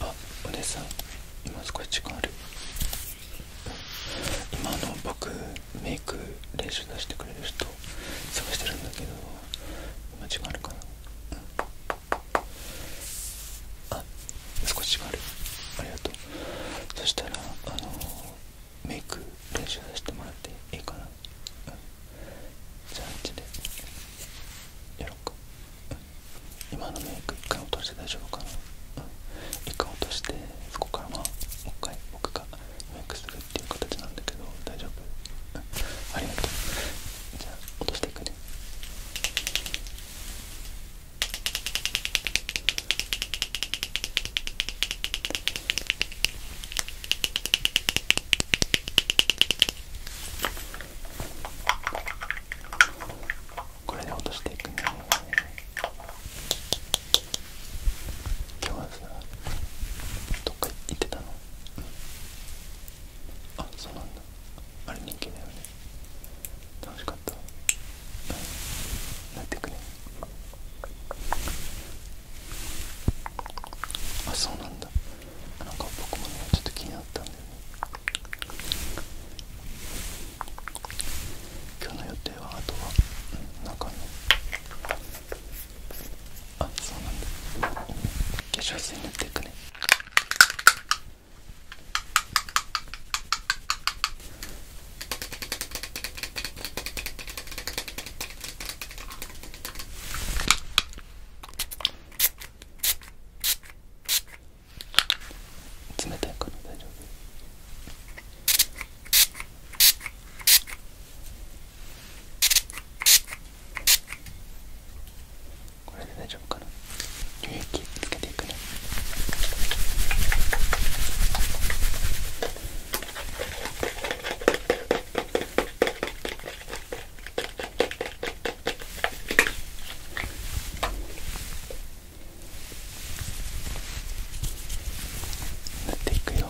あお姉さん今少し時間ある今の僕メイク練習出してくれる人探してるんだけど今時間あるかな、うん、あ少し時間あるありがとうそしたらあのメイク練習させてもらっていいかな、うん、じゃああちでやろうか、今のメイク1回落として大丈夫かな、1回落としてそこからまあもう一回僕がメイクするっていう形なんだけど大丈夫、ありがとうじゃあ落としていくねこれで落としていくね今日はさどっか行ってたのあそうなんだあれ人気だよね楽しかったなっていくねあそうなんだなんか僕もねちょっと気になったんだよね今日の予定はあとは、中に。あそうなんだ化粧水塗っていくね冷たいから大丈夫これで大丈夫かな。気つけていくっていくよ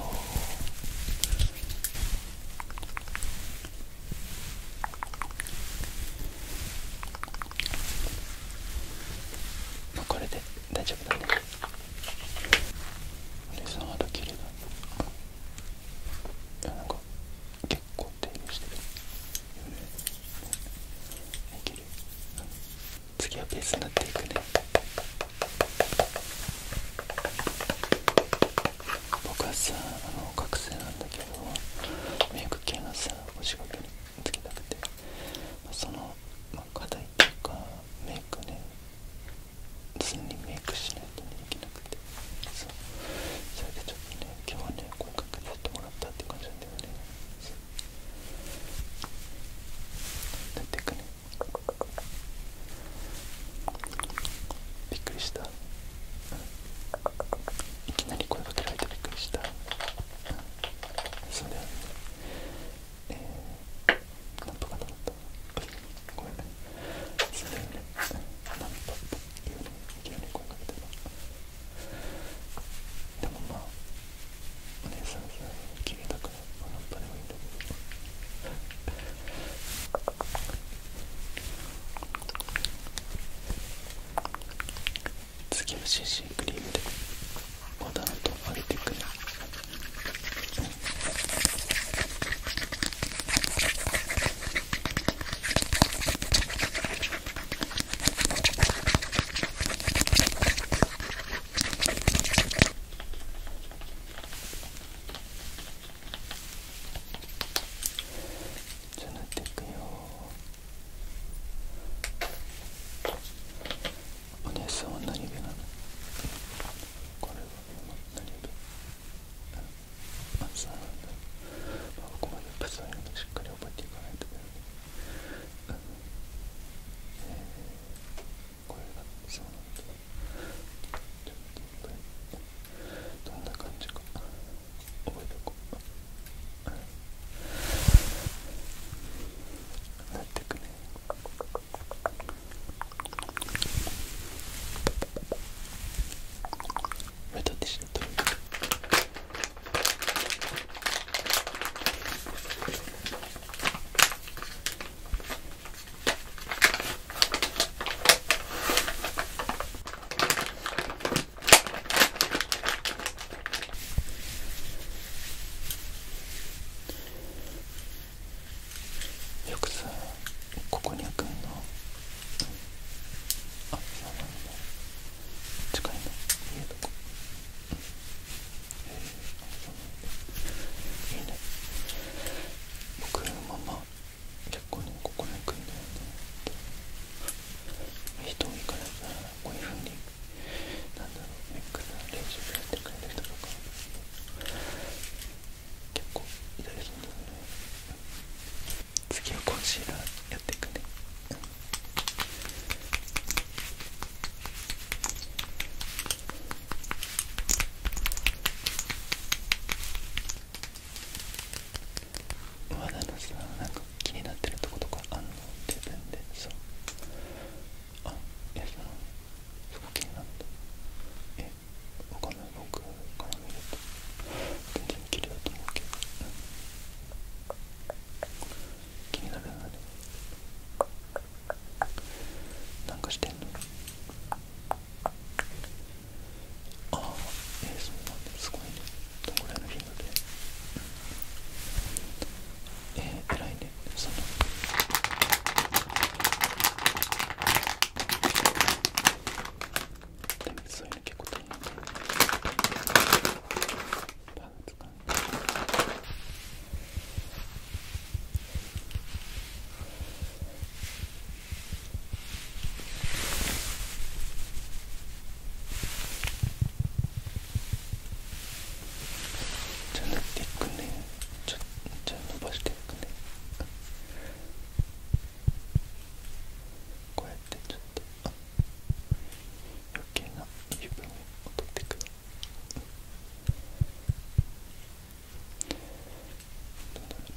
まあ、これで大丈夫だねお俺さんは肌綺麗だいやなんか結構手入れしてるよねはい綺麗次はベースになっていくね僕はさあの学生なんだけどメイク系のさお仕事につけたくて、まあ、その、まあ、課題とかメイクね普通にメイクしないと、ね、いけなくてそれでちょっとね今日はね合格させてもらったって感じなんだよねだってかねびっくりした、いきなり声かけられてびっくりした、それで、えー、なとかったごめれでねなんとかってうにいきなり声かけてたでもまあお姉さんさ消えたからまあ何とでもいいんだけどあ次の CC クリームでまタんと上げていくねじゃあ塗っていくよ。お姉さんは何気なのこれは何気まずなんだ、あ、ここまでやっぱそうしっかり覚えていかないといけない、うえー、がそうなんだどんな感じか。覚えとこうなよくさここにゃくんだ。あそうなんだ近いの家とかえー、あそうなんだいいね僕のママ結構ねここにゃくんだよね人も行かないからかこういうふになんだろうネックな練習をやってくれる人とか結構いたりするので。次はコンシーラーやっていくね、うんこ肌のさなんか気になってるとことかあんの自分でそうあえ、やそのそこ気になったえわかんない僕から見ると全然綺麗だと思うけど、気になるなでもなんかしてんのああえー、そうなんだすごいねどこぐらいの頻いのえらいねそのそういうの結構大変だパーツかじゃあ塗っていくねじゃあ伸ばしていくねこうやってちょっと余計な油分を取っていく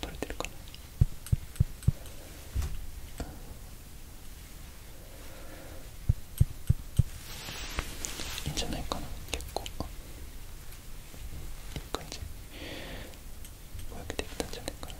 取れてるかないいんじゃないかな結構いい感じこうやってできたんじゃないかな、うん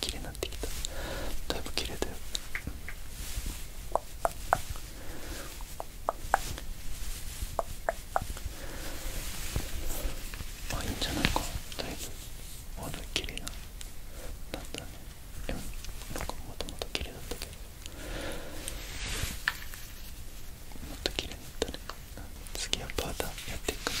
綺麗になってきただいぶ綺麗だよあいいんじゃないかだいぶまだ綺麗なだったねえなんかもともと綺麗だったけどもっと綺麗になったね次はパーターやっていくかな。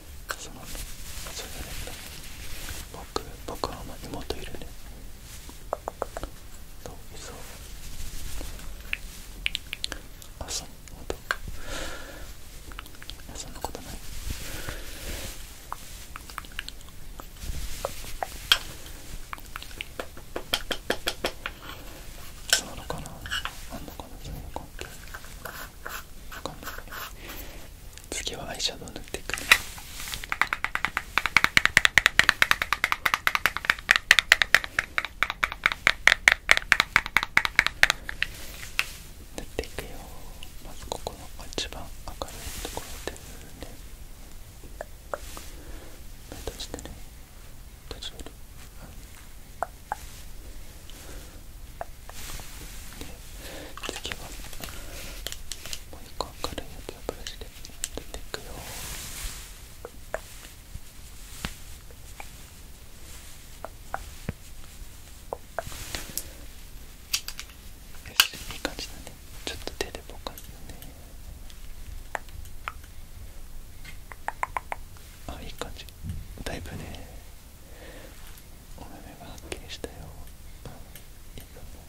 それ僕僕はまあ妹いるねといそうあそんほそんなことないそうなのかなあんのかなそういう関係わかんない次はアイシャドウ塗っていく塗っていくよまずここの一番明るいところで次はもう一個明るいやブラシで塗っていくよよしいい感じだねちょっと手でぼかすねあいい感じだいぶねお目目がはっきりしたよいいかも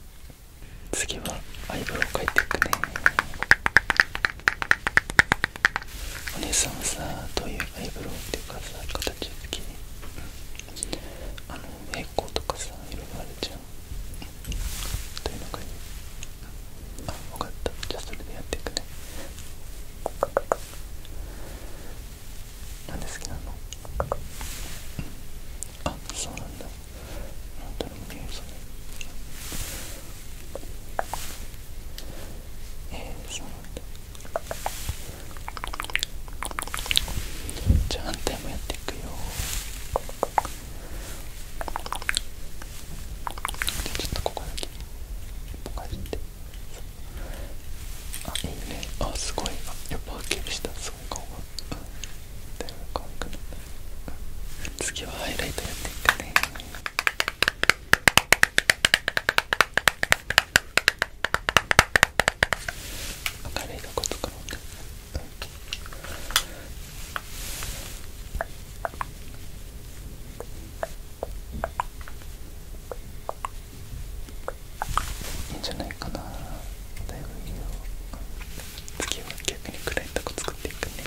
次はアイブロウ描いていくねお姉さんはさどういうアイブロウっていうかさ形好きあの平行とかさ色々あるじゃんどいうのがいいあ分かったじゃあそれでやっていくねなんで好きなあそうなんだなんとでえそうなんだじゃあ反対もやっていくよでちょっとここだけポカかってあいいねあすごいやっぱはっきりしたすごい顔がうんだい次はハイライトやっていくね明るいとことかもね、うんいいんじゃないかなだいぶいいよ次は逆に暗いとこ作っていくね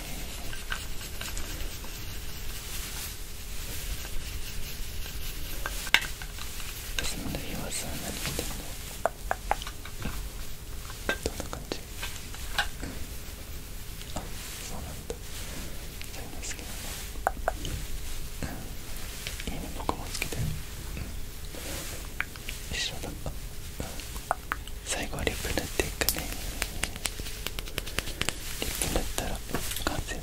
休みの日はさ何してんのどんな感じあそうなんだそういうの好きなのいいね僕もつけてる、一緒だった最後はリップ塗いくねリップったら完成だ、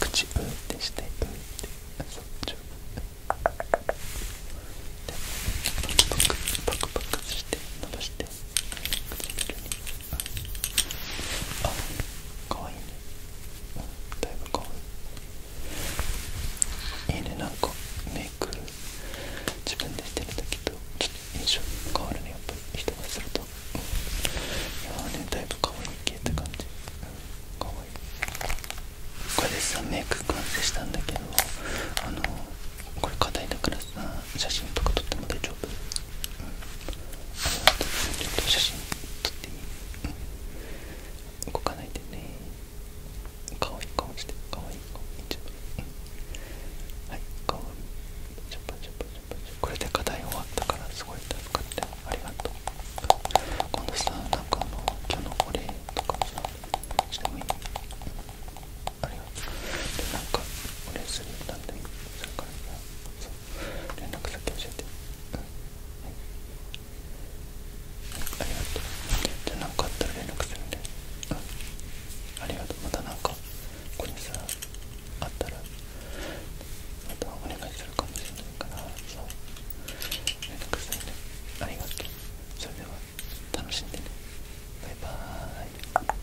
口うーってしてうーってあそっちをパクパクパクパクして伸ばしてあ可愛いねだいぶ可愛いいねなんかメイク自分でしてる時とちょっと印象変わるねやっぱり人がすると、いやねだいぶ可愛い系って感じ、うん、可愛いこれでさメイク完成したんだけどあのこれ硬いだから写真とか撮っても大丈夫、うん、ちょっと写真撮っていい、うん、動かないでねかわいい顔してかわいい顔ちょっと、うん、はいかわいいちょっとちょっとちょっとこれで課題終わったからすごい助かってありがとう今度さなんかあの今日のお礼とかさしてもいい、あれよでなんか俺すぐなんだそれからそう連絡先教えてうんはいありがとうじゃあ何かあったら連絡するんでうありがとうまたなんかここにさあったらまたお願いするかもしれないから連絡するんでありがとうそれでは楽しんでねバイバーイ